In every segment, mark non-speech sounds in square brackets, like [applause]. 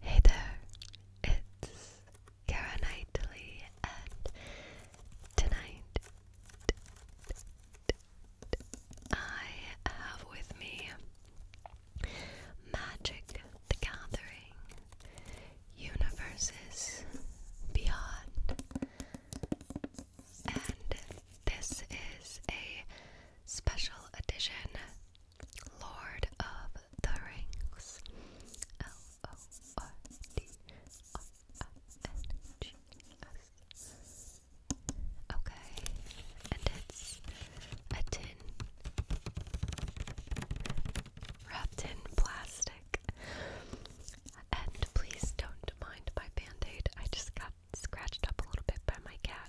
Hey there, it's Kara Knightley, and tonight I have with me Magic the Gathering Universes Beyond, and this is a special edition Lord of the Rings. L O R D R I N G S. Okay, and it's a tin wrapped in plastic. And please don't mind my band aid. I just got scratched up a little bit by my cat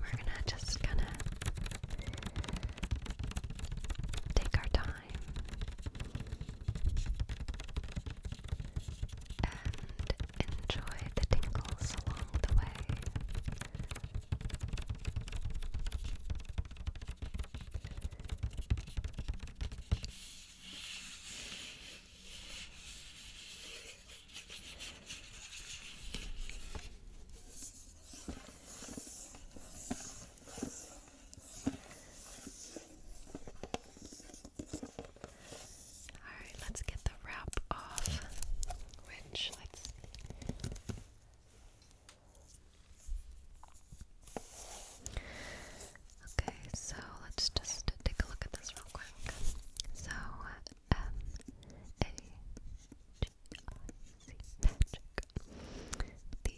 we're gonna just kind of take our time and enjoy the tingles along the way. Alright, let's get the wrap off, which let's Okay, so let's just take a look at this real quick. So, M-A-G-I-C, magic. The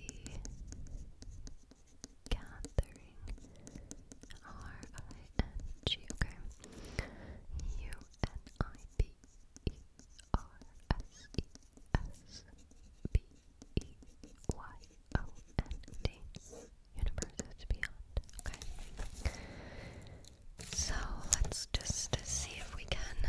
gathering, R-I-N-G, okay. U-N-I-B-E-R-S-E-S-B-E-Y-O-N-D. Universes beyond, okay. So let's just see if we can. Uh,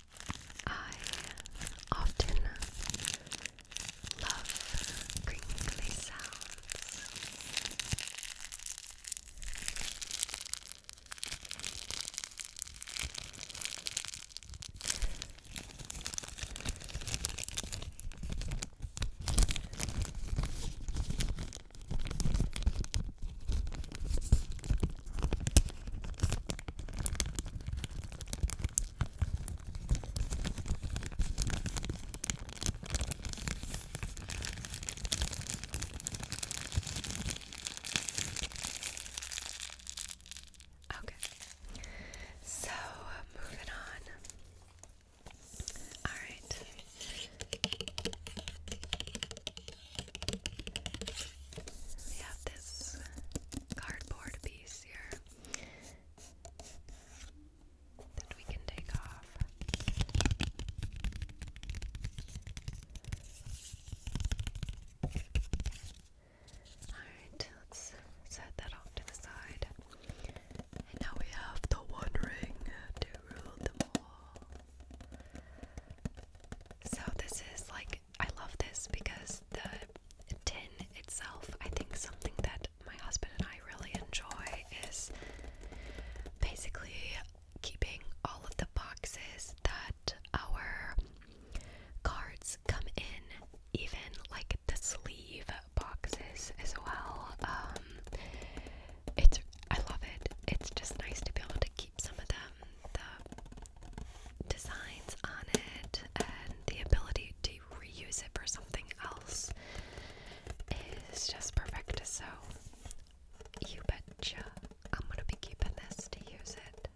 I often love crinkly sounds. Okay, so moving on. All right. We have this cardboard piece here that we can take off. Alright, let's set that off to the side. And now we have the one ring to rule them all. So this is like I love this because the tin itself, I think something that my husband and I really enjoy is basically keeping all of the boxes that our cards come in, even like the sleeve boxes as well. Um, it's I love it. It's just nice to be able to keep some of them the designs on it and the ability to reuse it for something else is just perfect. So, you betcha I'm gonna be keeping this to use it.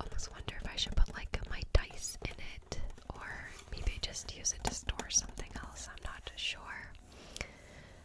Almost wonder if I should put like my dice in it or maybe just use it to store something else. I'm not sure.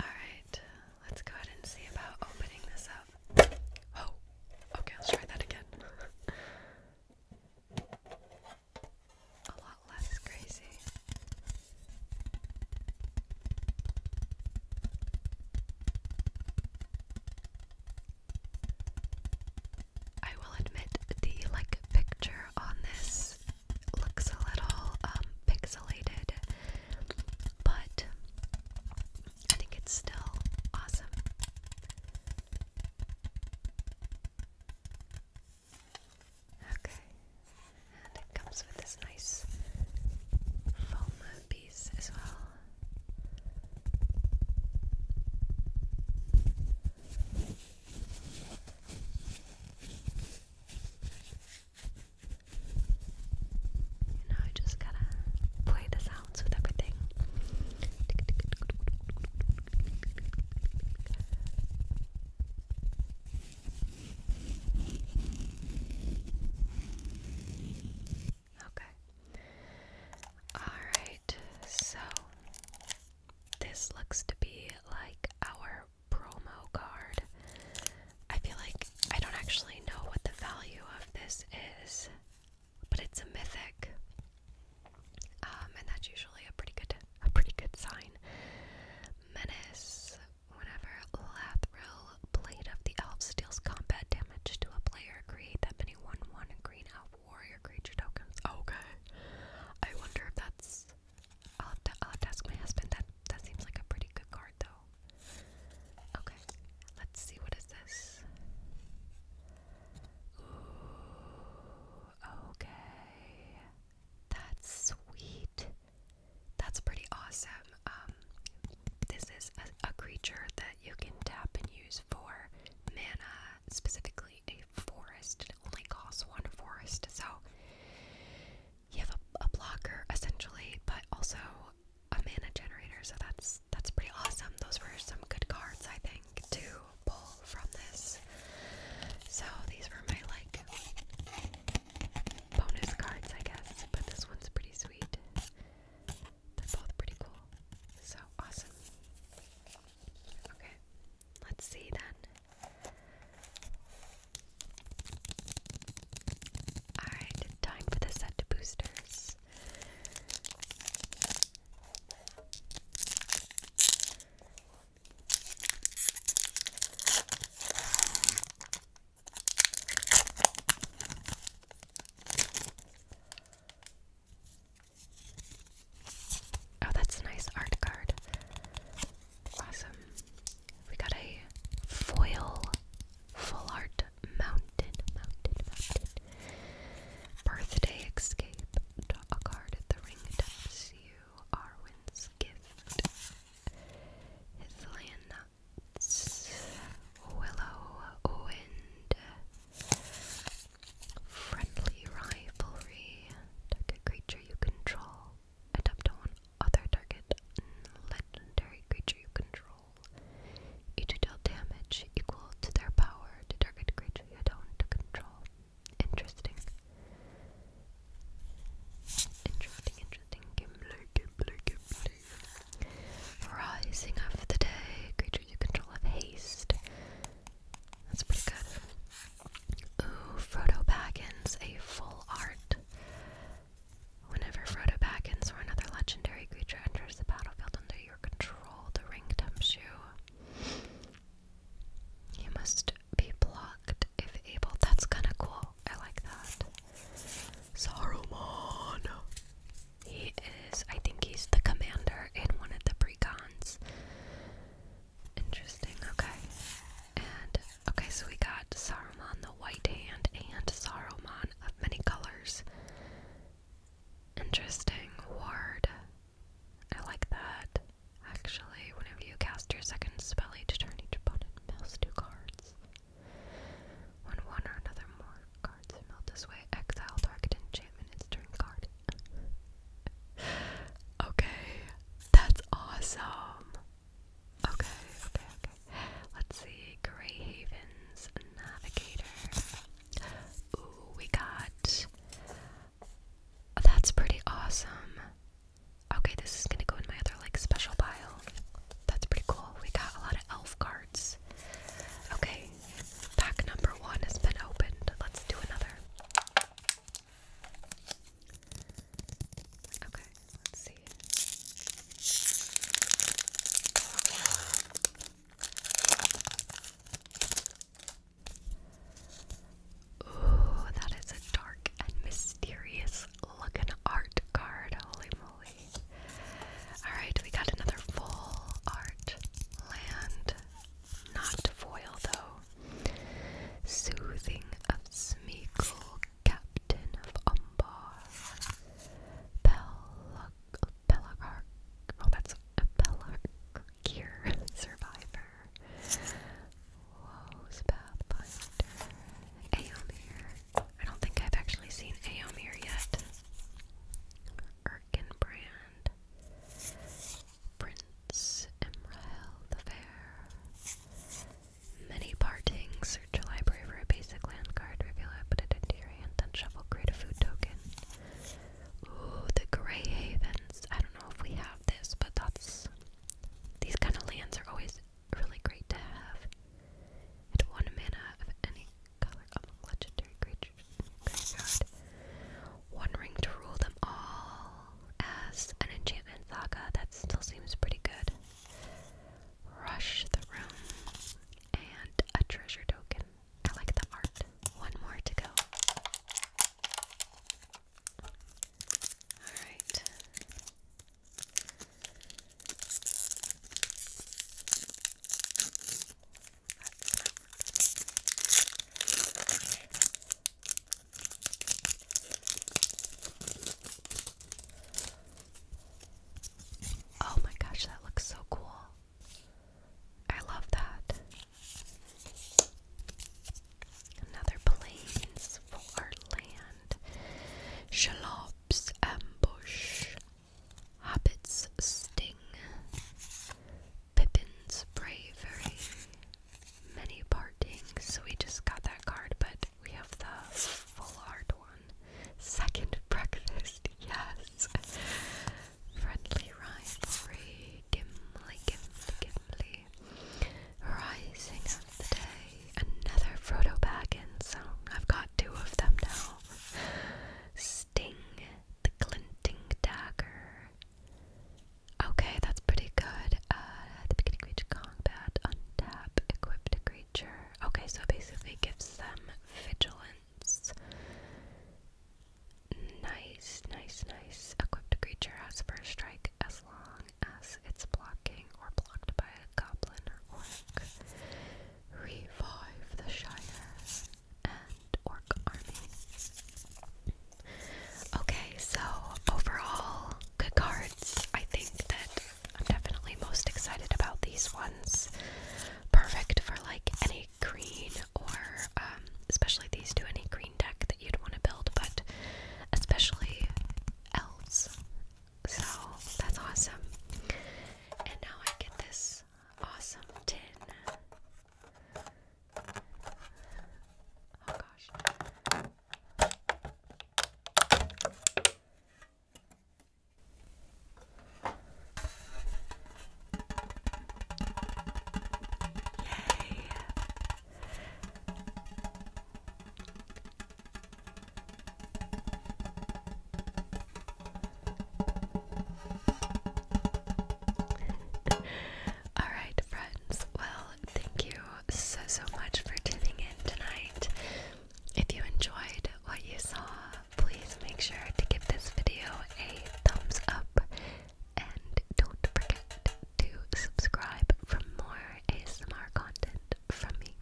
Alright, let's go ahead and see about opening this up. Oh, okay, let's try that again. A lot less crazy. I will admit the like picture on this looks a little um, pixelated, but I think it's still awesome. Okay, and it comes with this nice foam one as well. You know, I just gotta play the sounds with everything. Okay. Alright, so this looks to be like our promo card. I feel like I don't actually know what the value of this is, but it's a mythic. Um, and that's usually a pretty good a pretty good sign. Menace. Whenever Lathril, Blade of the Elf, deals combat damage to a player, create that many anyone won green elf warrior creature tokens? Okay. I wonder if that's. I'll have, to, I'll have to ask my husband. That that seems like a pretty good card, though. Okay, let's see. What is this? Ooh, okay, that's sweet. That's pretty awesome. Um, this is a creature that you can tap and use for mana, specifically a forest. only costs one forest, so you have a, a blocker essentially, but also a mana generator. So that's that's pretty awesome. Those were some good cards, I think, to pull from this. So these were my like bonus cards, I guess. But this one's pretty sweet. They're both pretty cool. So awesome. Okay, let's see then. Alright, time for the set boosters. Oh, that's a nice art card. Awesome. We got a foil full art mountain, mountain, mountain. Birthday escape. a card at the ring taps you Arwen's gift. His nuts. Willow wind Friendly rivalry. Target creature you control. Adapt to one other target legendary creature you control. Each deal damage equal to their power to target creature you don't control. Interesting. Interesting, interesting. Gimler, Gimler, Gimler. Rising of the day, creatures you control of haste. That's pretty good. Ooh, Frodo Baggins, a full art. Whenever Frodo Baggins or another legendary creature enters the battlefield under your control, the ring dumps you. You must be blocked if able. That's kinda cool. I like that. Saruman! He is, I think he's the commander in one of the precons. Interesting, okay. And, okay, so we got Saruman the White Hand and Saruman of Many Colors. Interesting word. I like that. Actually, whenever you cast your second spell, each turn each opponent mouse two cards. One one or another more Cards who this way. Exile target enchantment its card. okay. That's awesome. Okay, okay, okay. Let's see. Grey Navigator. Ooh, we got. That's pretty awesome. Okay, this is gonna go in my other like special pile. That's pretty cool. We got a lot of elf cards. Okay, pack number one has been opened. Let's do another. Okay, let's see. Ooh, that is a dark and mysterious looking art card. Holy moly. Alright, we got another full art land. Not foil though. Soothing of Smeagol, Captain of Umbar. Bella Bellagark. Oh, that's a Bellagark gear [laughs] survivor. Woe's Pathfinder. Aomir. I don't think I've actually seen Aom here yet. Erkin Prince Emrael Fair. Many partings. Search a library for a basic land card. Reveal it, put it into your hand, create a food token. Ooh, the Grey Havens. I don't know if we have this, but that's. These kind of lands are always really great to have. At one mana of any color among legendary creatures in oh your graveyard. One to rule them all as an enchantment saga. That still seems pretty good. Rush the room and a treasure token. I like the art. One more to go. Alright. Oh my gosh, that looks so cool. I love that. Another plains for land. Shallops ambush. Hobbit's sting. Pippin's bravery. Many parting. So we just got that card, but we have the full art one. Second [laughs] breakfast, yes. Friendly rivalry. Gimli, Gimli, Gimli. Rising of the day. Another Frodo Baggins. So I've got two of them now sting, the glinting dagger. Okay, that's pretty good. Uh, the beginning of combat, untap, equipped creature. Okay, so basically gives them vigilance. Nice, nice, nice. Equipped creature has first strike as long as it's blocking or blocked by a goblin or orc revive the Shire and Orc army. Okay, so overall, good cards. I think that I'm definitely most excited about these ones. Perfect for like any green or um, especially these two, any green deck that you'd want to build, but especially elves. So that's awesome. And now I get this awesome tin. Oh gosh. Yay. Alright, friends. Well, thank you so, so much for tuning in tonight. If you enjoyed what you saw, please make sure to give this video a thumbs up and don't forget to subscribe for more ASMR content from me.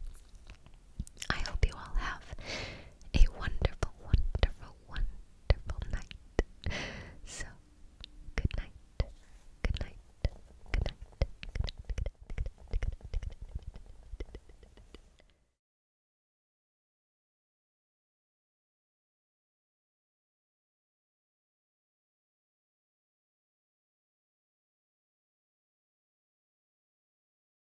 I hope you all have a wonderful, wonderful, wonderful night. So, good night. Good night. Good night. night.